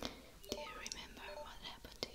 Do you remember what happened to you?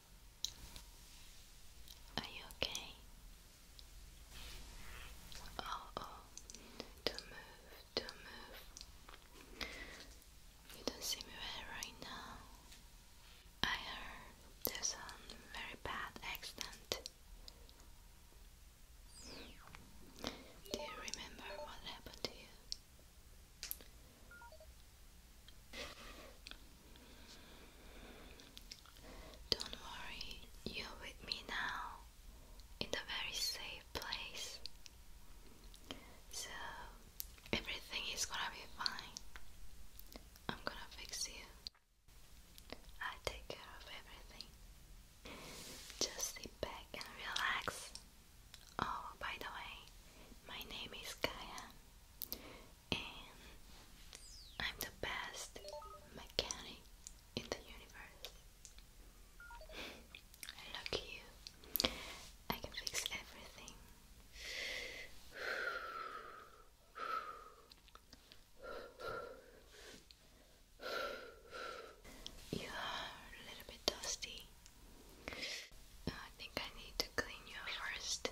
Are you okay? Oh, oh, do move, do move. You don't see me well right now. I heard there's a very bad accident. Do you remember what happened to you? Don't worry, you're with me now in a very safe place. So everything is gonna be fine. I'm gonna fix you. I take care of everything. Just sit back and relax. Oh, by the way, my name is Kaya. I'm the best mechanic in the universe. Look you, I can fix everything. You are a little bit dusty. I think I need to clean you first.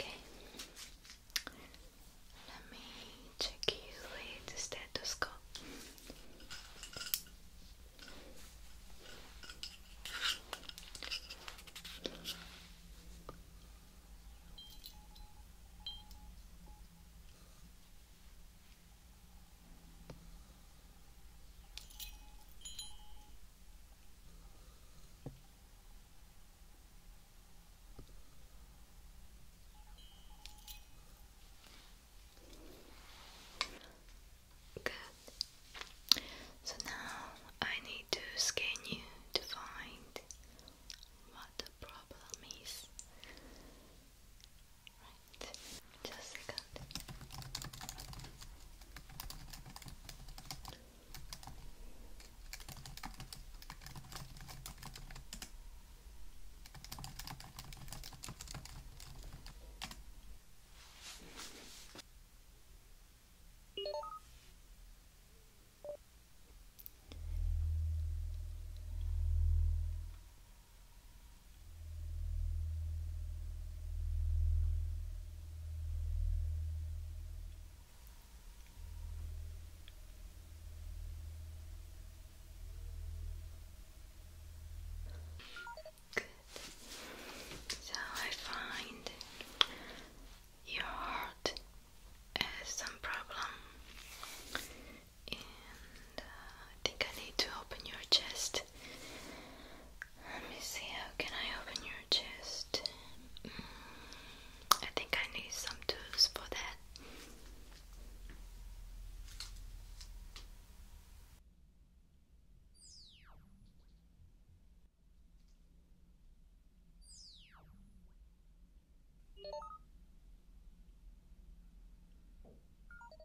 Okay, let me check you with the stethoscope. Okay. Good. So now I need to scan you to find what the problem is just a second. Good. So I find your heart has some problem. Uh, I think I need to open your chest. Let me see, how can I open your chest? Mm, I think I need some tools for that.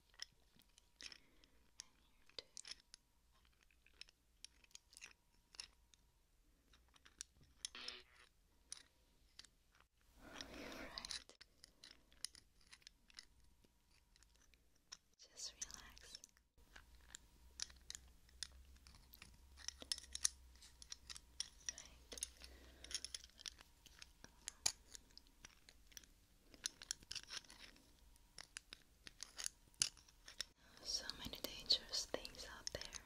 And here too. You're right. Just relax. Right. So many dangerous things out there.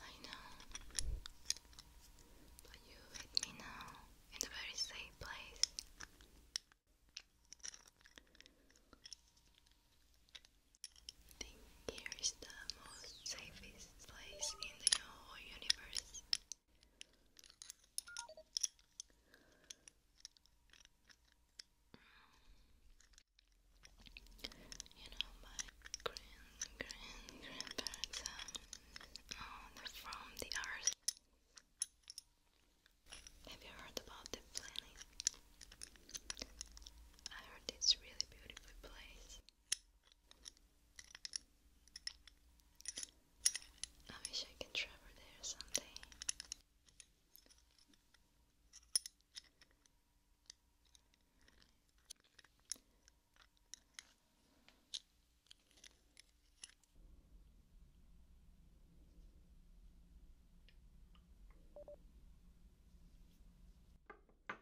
I know, but you with me now in a very safe place. I think here is the most safest place in the whole universe. You know, my grand, grand, grandparents are um, from the earth. Have you heard about the planet? I heard it's a really beautiful place. I wish I could travel there someday.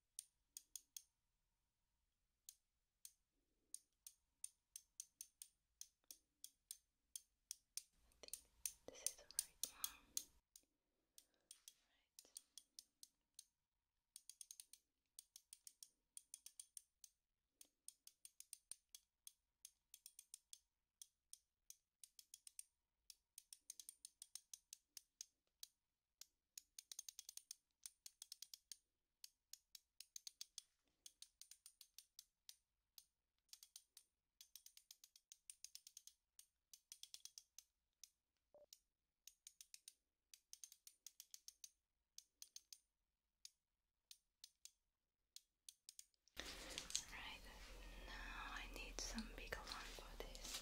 I think this is the right one. Right. Okay. Right now I need some big alarm for this.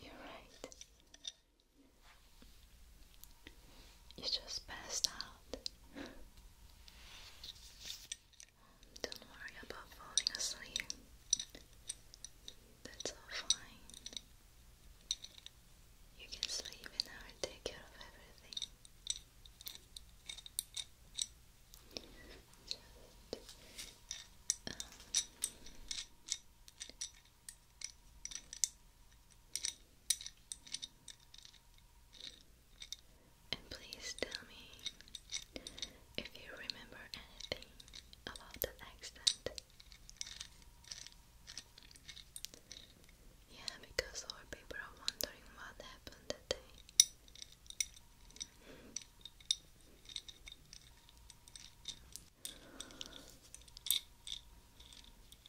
You're right. You just passed out. Don't worry about falling asleep. That's all fine. You can sleep and I will take care of everything um, and please tell me if you remember anything about that accident. Yeah, because our people are wondering what happened that day.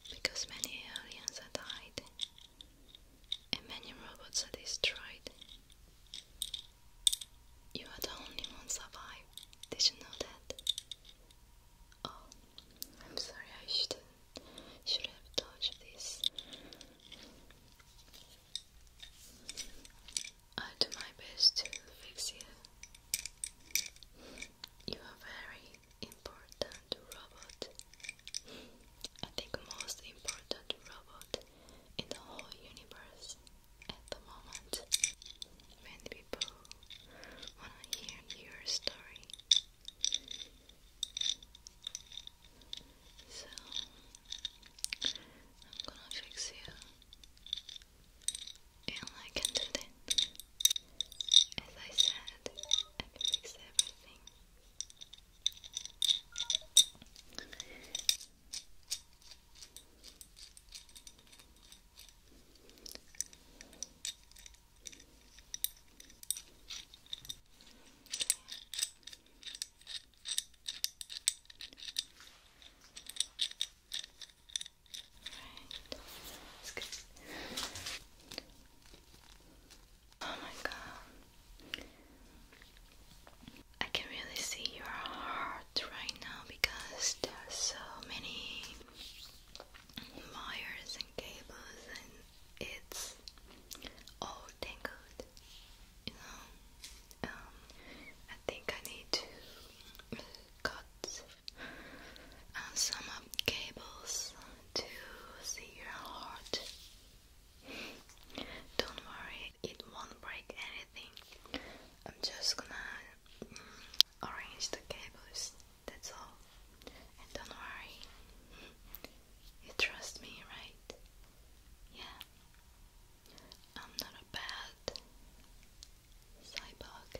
Because many aliens are died and many robots are destroyed. You are the only one survived. Did you know that? Oh, I'm sorry, I should have should have touched this. i uh, do my best to fix you. You are very important robot. I think most important robot in the whole universe at the moment. Many people wanna hear your story. So I'm gonna fix you and I can do that. As I said, I fix everything. Right. That's Oh my god. I can really see your heart right now because there are so many wires and cables and it's all tangled, Um, I think I need to cut uh, some cables to see your heart. Don't worry, it won't break anything. I'm just gonna mm, arrange the cables, that's all. don't worry, you trust me, right? Yeah. I'm not a bad cyborg.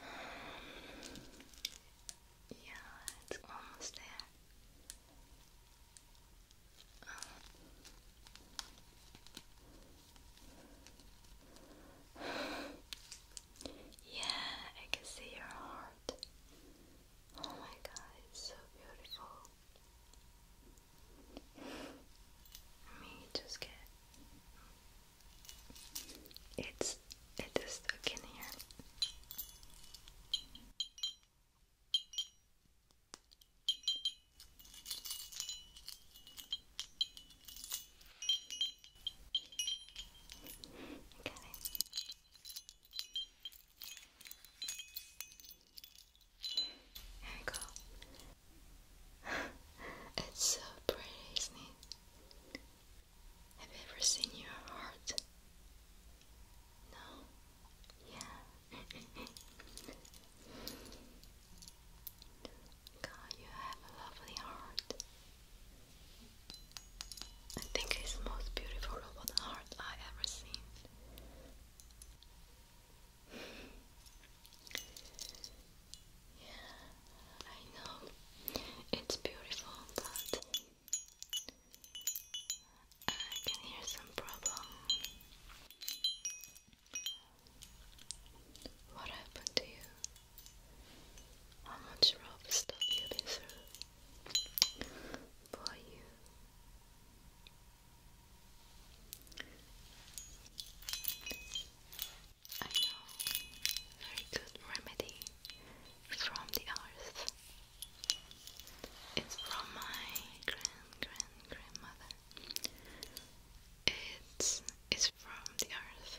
Um, yeah, it's almost there. Um, yeah, I can see your heart. Oh my god, it's so beautiful. Me just get it's it is stuck in here. Got it. There we go. it's so pretty, isn't it? Have you ever seen your heart? No? Yeah. God, you have a lovely heart. I think it's the most beautiful robot art I ever seen. yeah, I know it's beautiful, but I can hear some problem. What happened to you? How much rope stuff you deserve for you? I know very good remedy from the earth. It's from my grand grand grandmother. It's it's from the earth.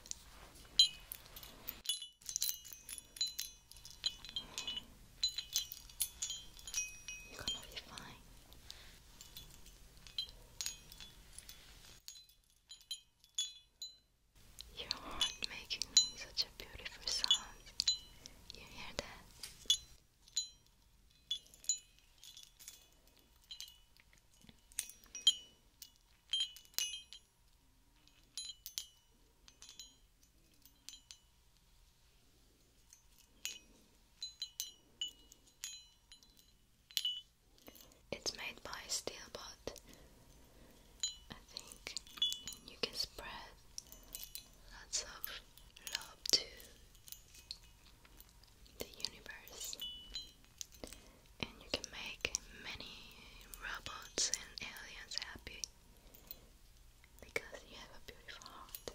You're gonna be fine. Your heart making such a beautiful sound. You hear that? It's made by Steelbot, I think, you can spread lots of love to the universe and you can make many robots and aliens happy because you have a beautiful heart.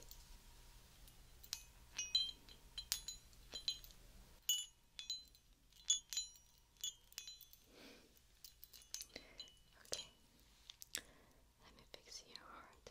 Okay, let me fix your heart.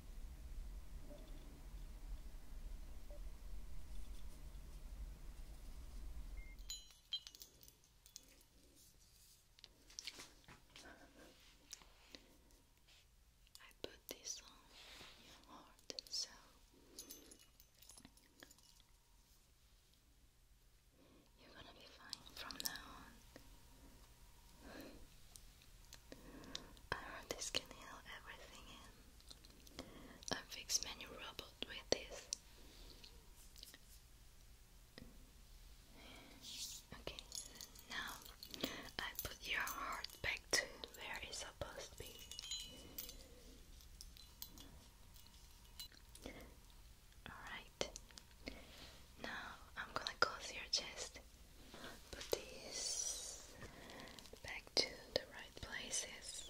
I put this on your heart so you're gonna be fine from now on. I this can heal everything I fix many robot with this. Okay, now I put your heart back to where it's supposed to be. Alright, now I'm gonna close your chest put these back to the right places.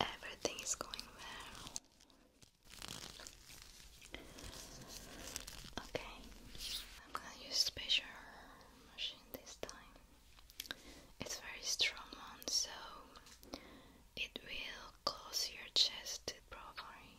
Everything is going well. Okay, I'm gonna use special machine this time. It's very strong one, so it will cause your chest to properly.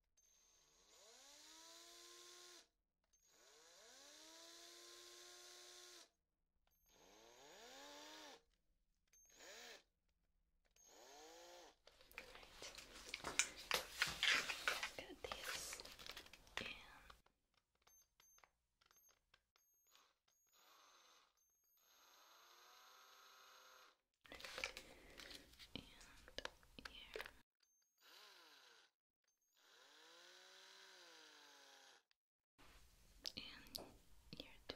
Right. Get this in and here. And here too. Good. And here too.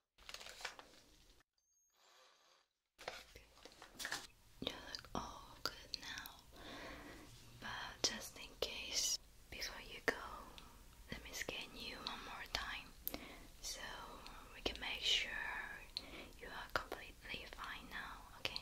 You look all good now, but just in case, before you go, let me scan you one more time so we can make sure you are completely fine now, okay?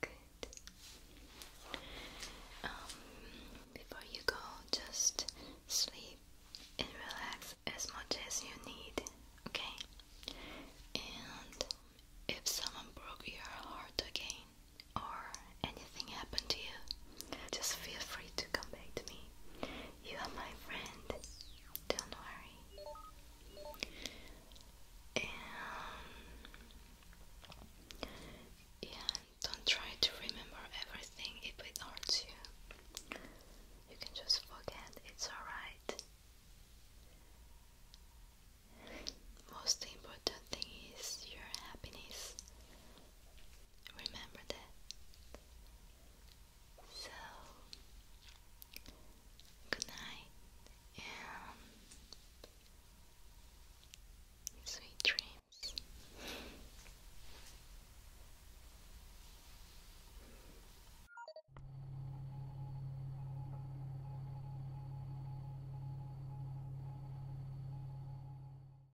Good. Um, before you go, just sleep and relax as much as you need, okay? And if someone broke your heart again or anything happened to you, just feel free to come back to me. You are my friend. Don't worry. And don't try to remember everything. It will you. You can just forget. It's alright. Most important thing is your happiness. Remember that. So, good night and sweet dreams.